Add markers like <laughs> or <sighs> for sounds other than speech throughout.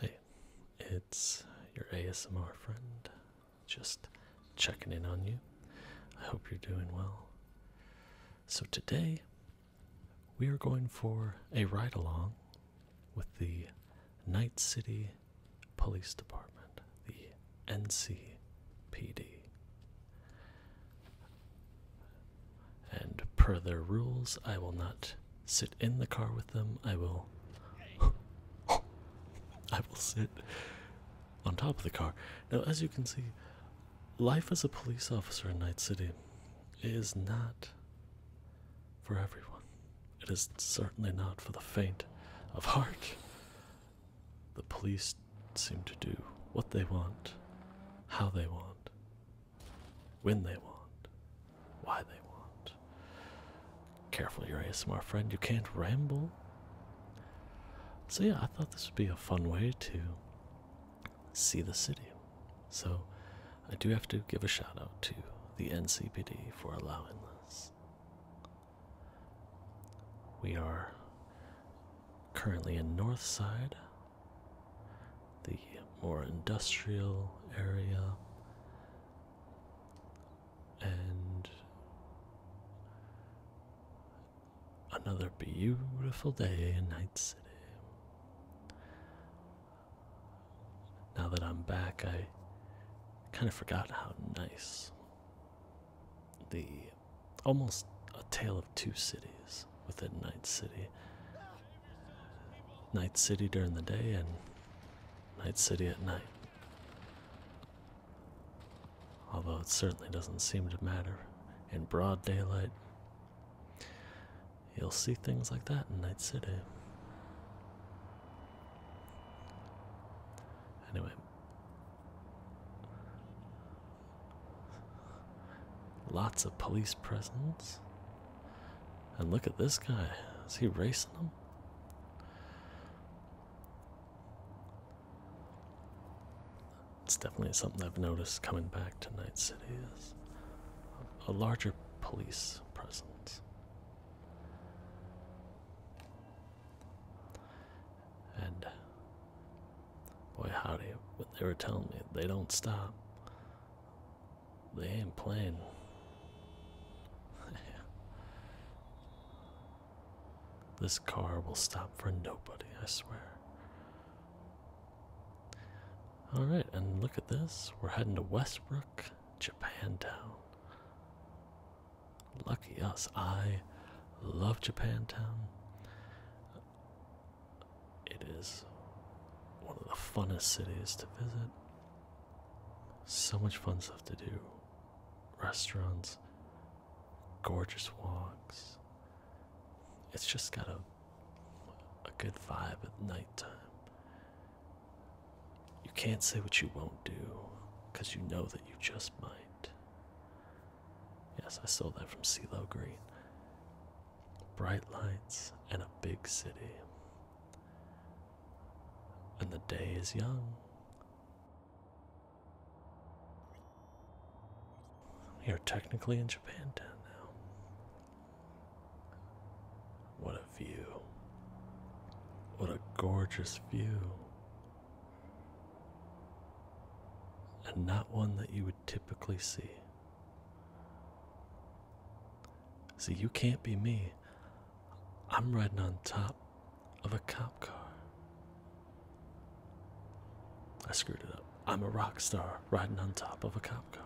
Hey, it's your ASMR friend. Just checking in on you. I hope you're doing well. So, today we are going for a ride along with the Night City Police Department, the NC PD and per their rules, I will not sit in the car with them. I will. <laughs> I will sit on top of the car. Now, as you can see, life as a police officer in Night City is not for everyone. It is certainly not for the faint of heart. The police seem to do what they want, how they want, when they want, why they want. Careful, your ASMR friend, you can't ramble. So, yeah, I thought this would be a fun way to see the city. So, I do have to give a shout out to the NCPD for allowing this. We are currently in Northside, the more industrial area, and another beautiful day in Night City. Now that I'm back, I kind of forgot how nice the almost a tale of two cities is within Night City. Night City during the day and Night City at night. Although it certainly doesn't seem to matter in broad daylight. You'll see things like that in Night City. Anyway, Lots of police presence. And look at this guy. Is he racing them? It's definitely something I've noticed coming back to Night City is a larger police presence. And Boy, howdy, what they were telling me, they don't stop. They ain't playing. <laughs> this car will stop for nobody, I swear. Alright, and look at this. We're heading to Westbrook, Japantown. Lucky us. I love Japantown. It is one of the funnest cities to visit. So much fun stuff to do. Restaurants, gorgeous walks. It's just got a a good vibe at nighttime. You can't say what you won't do, because you know that you just might. Yes, I stole that from CeeLo Green. Bright lights and a big city. And the day is young. We are technically in Japan now. What a view. What a gorgeous view. And not one that you would typically see. See, you can't be me. I'm riding on top of a cop car. I screwed it up. I'm a rock star riding on top of a cop car.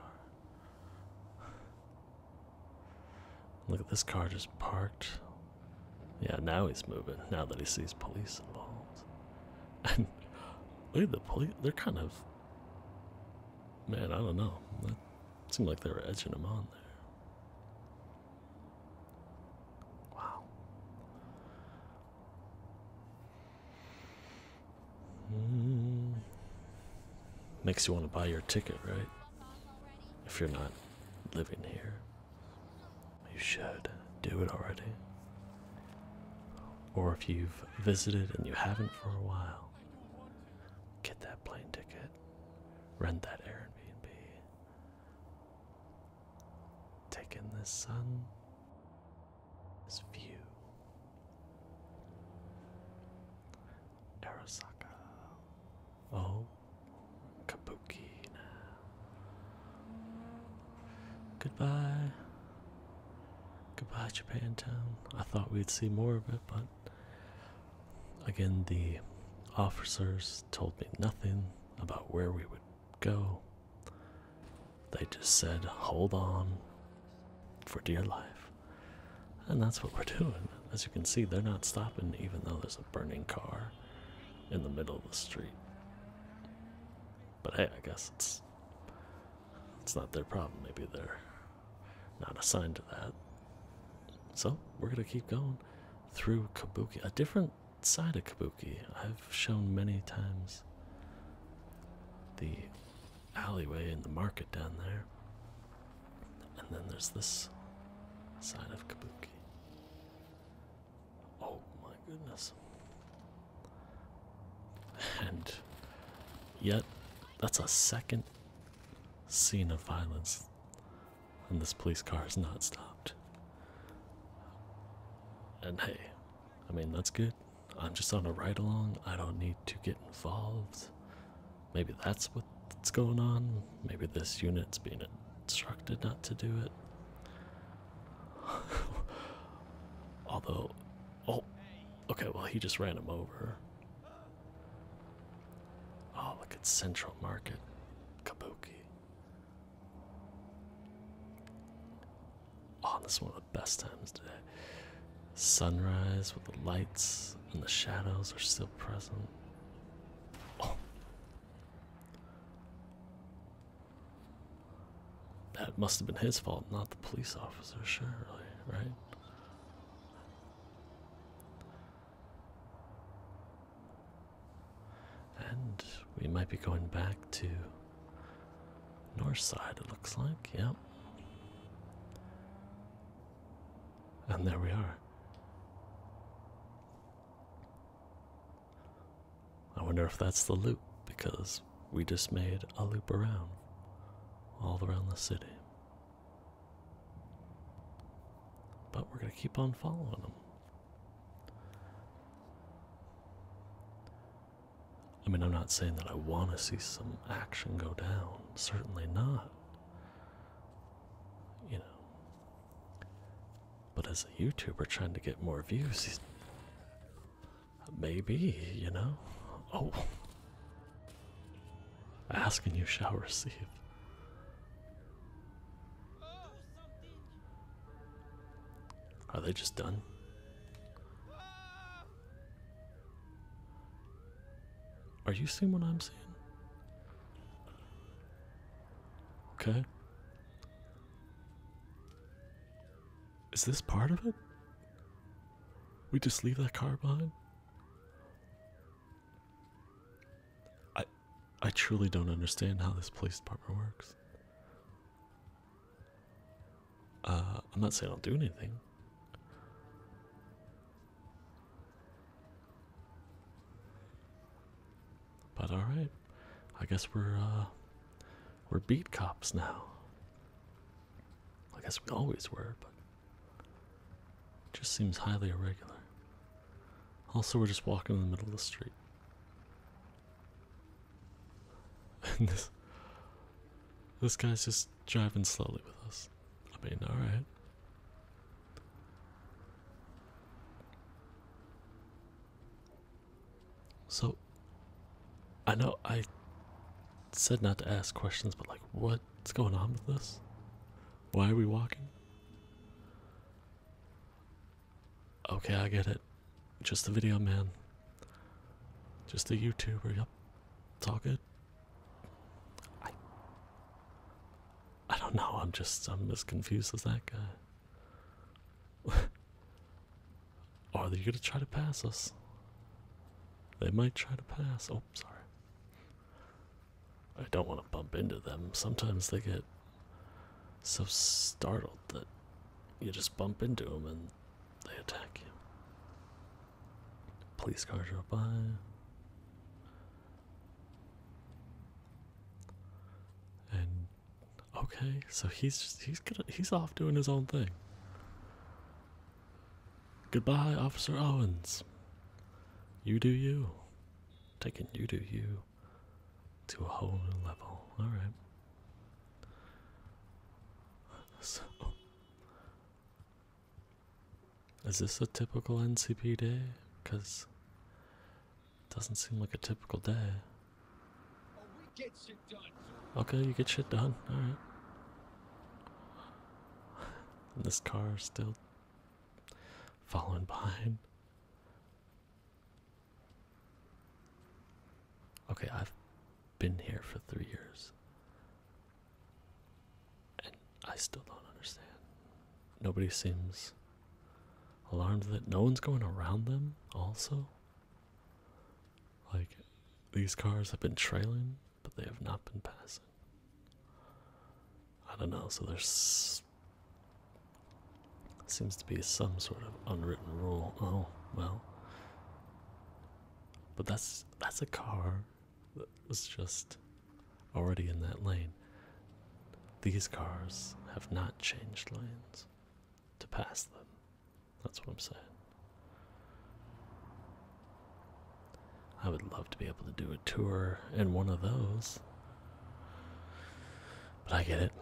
Look at this car just parked. Yeah, now he's moving, now that he sees police involved. And look at the police. They're kind of. Man, I don't know. That seemed like they were edging him on there. Wow. Hmm. Makes you want to buy your ticket, right? If you're not living here you should do it already. Or if you've visited and you haven't for a while, get that plane ticket, rent that Airbnb, take in this sun, this view. Arasaka, oh, Kabuki Goodbye. Goodbye, Japan Town. I thought we'd see more of it, but again, the officers told me nothing about where we would go. They just said, hold on for dear life. And that's what we're doing. As you can see, they're not stopping, even though there's a burning car in the middle of the street. But hey, I guess it's it's not their problem. Maybe they're not assigned to that. So we're gonna keep going through Kabuki, a different side of Kabuki. I've shown many times the alleyway in the market down there. And then there's this side of Kabuki. Oh my goodness. And yet, that's a second scene of violence, and this police car is not stopped. And hey, I mean, that's good. I'm just on a ride along, I don't need to get involved. Maybe that's what's going on. Maybe this unit's being instructed not to do it. <laughs> Although, oh, okay, well, he just ran him over. Oh, look at Central Market, Kabuki. Oh, this is one of the best times today. Sunrise with the lights and the shadows are still present. Oh. That must have been his fault, not the police officer, surely, right? And we might be going back to north side, it looks like, yep. And there we are. I wonder if that's the loop because we just made a loop around, all around the city. But we're going to keep on following them. I mean, I'm not saying that I want to see some action go down, certainly not. You know, but as a YouTuber trying to get more views, maybe, you know? Oh. asking you shall receive. Are they just done? Are you seeing what I'm seeing? Okay. Is this part of it? We just leave that car behind? I I truly don't understand how this police department works. Uh, I'm not saying I'll do anything. But all right, I guess we're uh, we're beat cops now. I guess we always were, but just seems highly irregular. Also, we're just walking in the middle of the street. <laughs> And this this guy's just driving slowly with us. I mean, all right. So, I know I said not to ask questions, but like, what's going on with this? Why are we walking? Okay, I get it. Just a video man. Just a YouTuber, yep. It's all good. I don't know. I'm just I'm as confused as that guy. <laughs> Are they gonna try to pass us? They might try to pass. Oh, sorry. I don't want to bump into them. Sometimes they get so startled that you just bump into them and they attack you. Police car drove by. And okay, so he's he's going he's off doing his own thing. Goodbye, Officer Owens. You do you. Taking you do you to a whole new level. Alright. So is this a typical NCP day? Because it doesn't seem like a typical day. Okay, you get shit done. Alright. <laughs> this car is still following behind. Okay, I've been here for three years. And I still don't understand. Nobody seems alarmed that no one's going around them, also. Like, these cars have been trailing, but they have not been passing. I don't know, so there's. Seems to be some sort of unwritten rule. Oh, well. But that's that's a car that was just already in that lane. These cars have not changed lanes to pass them. That's what I'm saying. I would love to be able to do a tour in one of those. But I get it.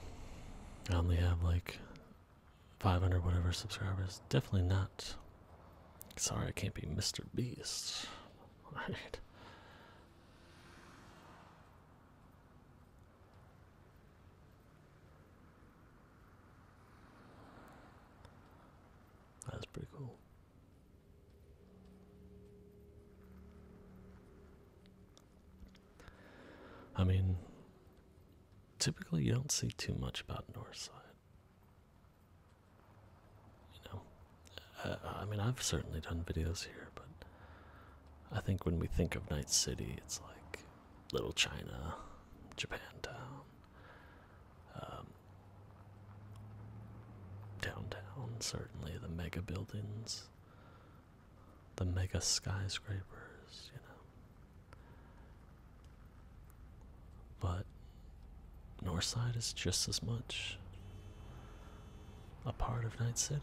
I only have like 500 whatever subscribers. Definitely not. Sorry, I can't be Mr. Beast. Alright. <laughs> That's pretty cool. I mean, typically you don't see too much about Northside you know, I, mean, I've certainly done videos here, but I think when we think of Night City, it's like Little China, Japan Town, um, downtown, certainly the mega buildings, the mega skyscrapers, you know. But Northside is just as much a part of Night City.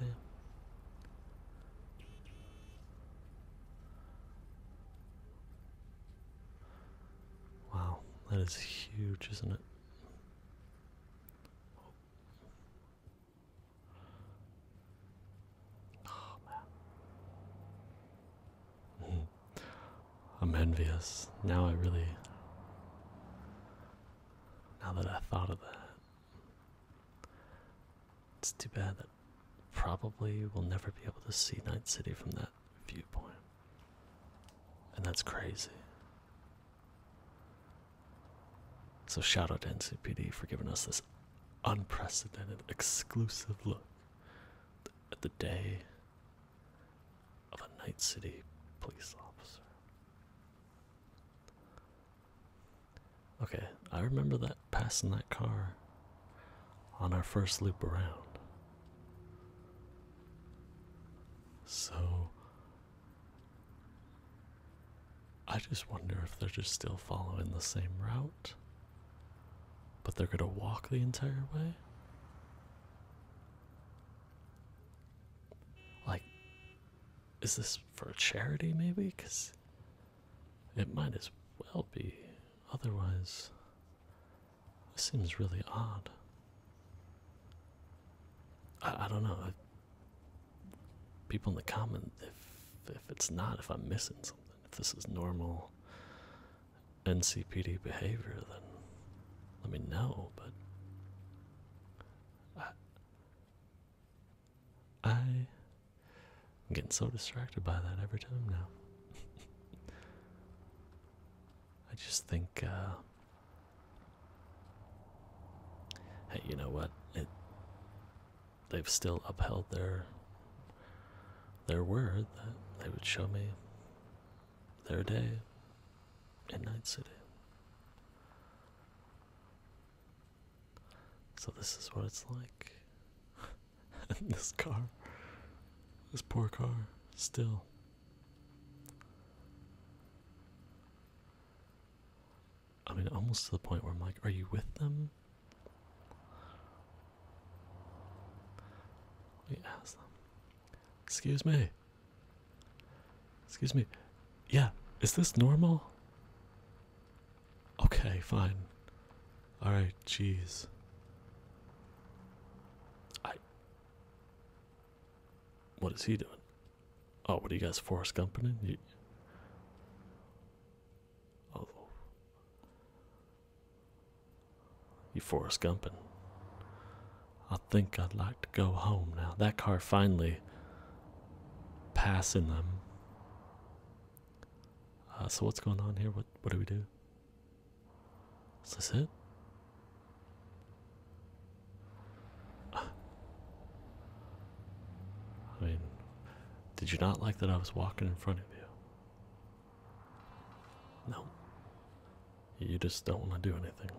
Wow, that is huge, isn't it? Oh, I'm envious. Now I really now that I thought of that. It's too bad that probably we'll never be able to see Night City from that viewpoint. And that's crazy. So shout out to NCPD for giving us this unprecedented exclusive look at the day of a Night City police officer. Okay, I remember that passing that car on our first loop around. So I just wonder if they're just still following the same route, but they're going to walk the entire way. Like, is this for charity maybe? Because it might as well be. Otherwise, this seems really odd. I, don't know. people in the comment, if if it's not, if I'm missing something, if this is normal, NCPD behavior, then let me know. But I, I am getting so distracted by that every time now. <laughs> I just think, uh, hey, you know what? It they've still upheld their their word that they would show me their day and Night City. So, this is what it's like. <laughs> this car, this poor car, still. I mean, almost to the point where I'm like, are you with them? We Excuse me. Excuse me. Yeah, is this normal? Okay, fine. Alright, jeez. I. What is he doing? Oh, what are you guys, Forrest Gumping? You... Oh. You Forrest Gumpin. I think I'd like to go home now. That car finally passing them. Uh, so what's going on here? What what do we do? Is this it? <sighs> I mean, did you not like that I was walking in front of you? No. You just don't want to do anything.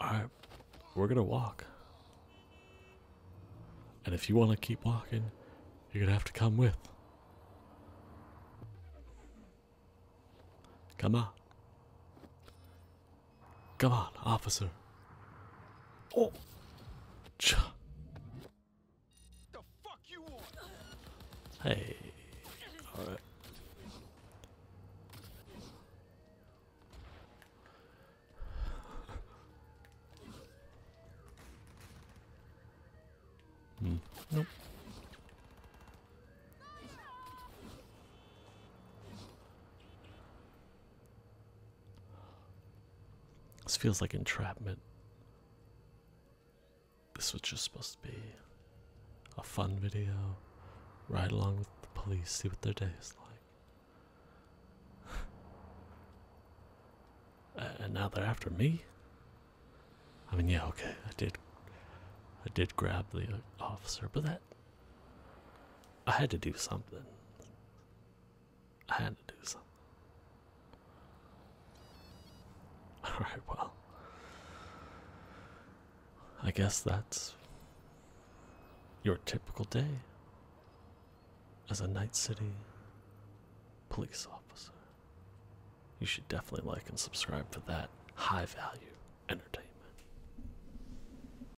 Alright, we're gonna walk. And if you want to keep walking, you're gonna have to come with. Come on. Come on, officer. Oh. Ch the fuck you want? Hey. All right. hmm. Nope. This feels like entrapment. This was just supposed to be a fun video. Ride along with the police, see what their day is like. <sighs> and now they're after me? I mean, yeah, okay, I did. I did grab the uh, officer, but that. I had to do something. I had to do something. <laughs> Alright, well. I guess that's your typical day as a Night City police officer. You should definitely like and subscribe for that high value entertainment.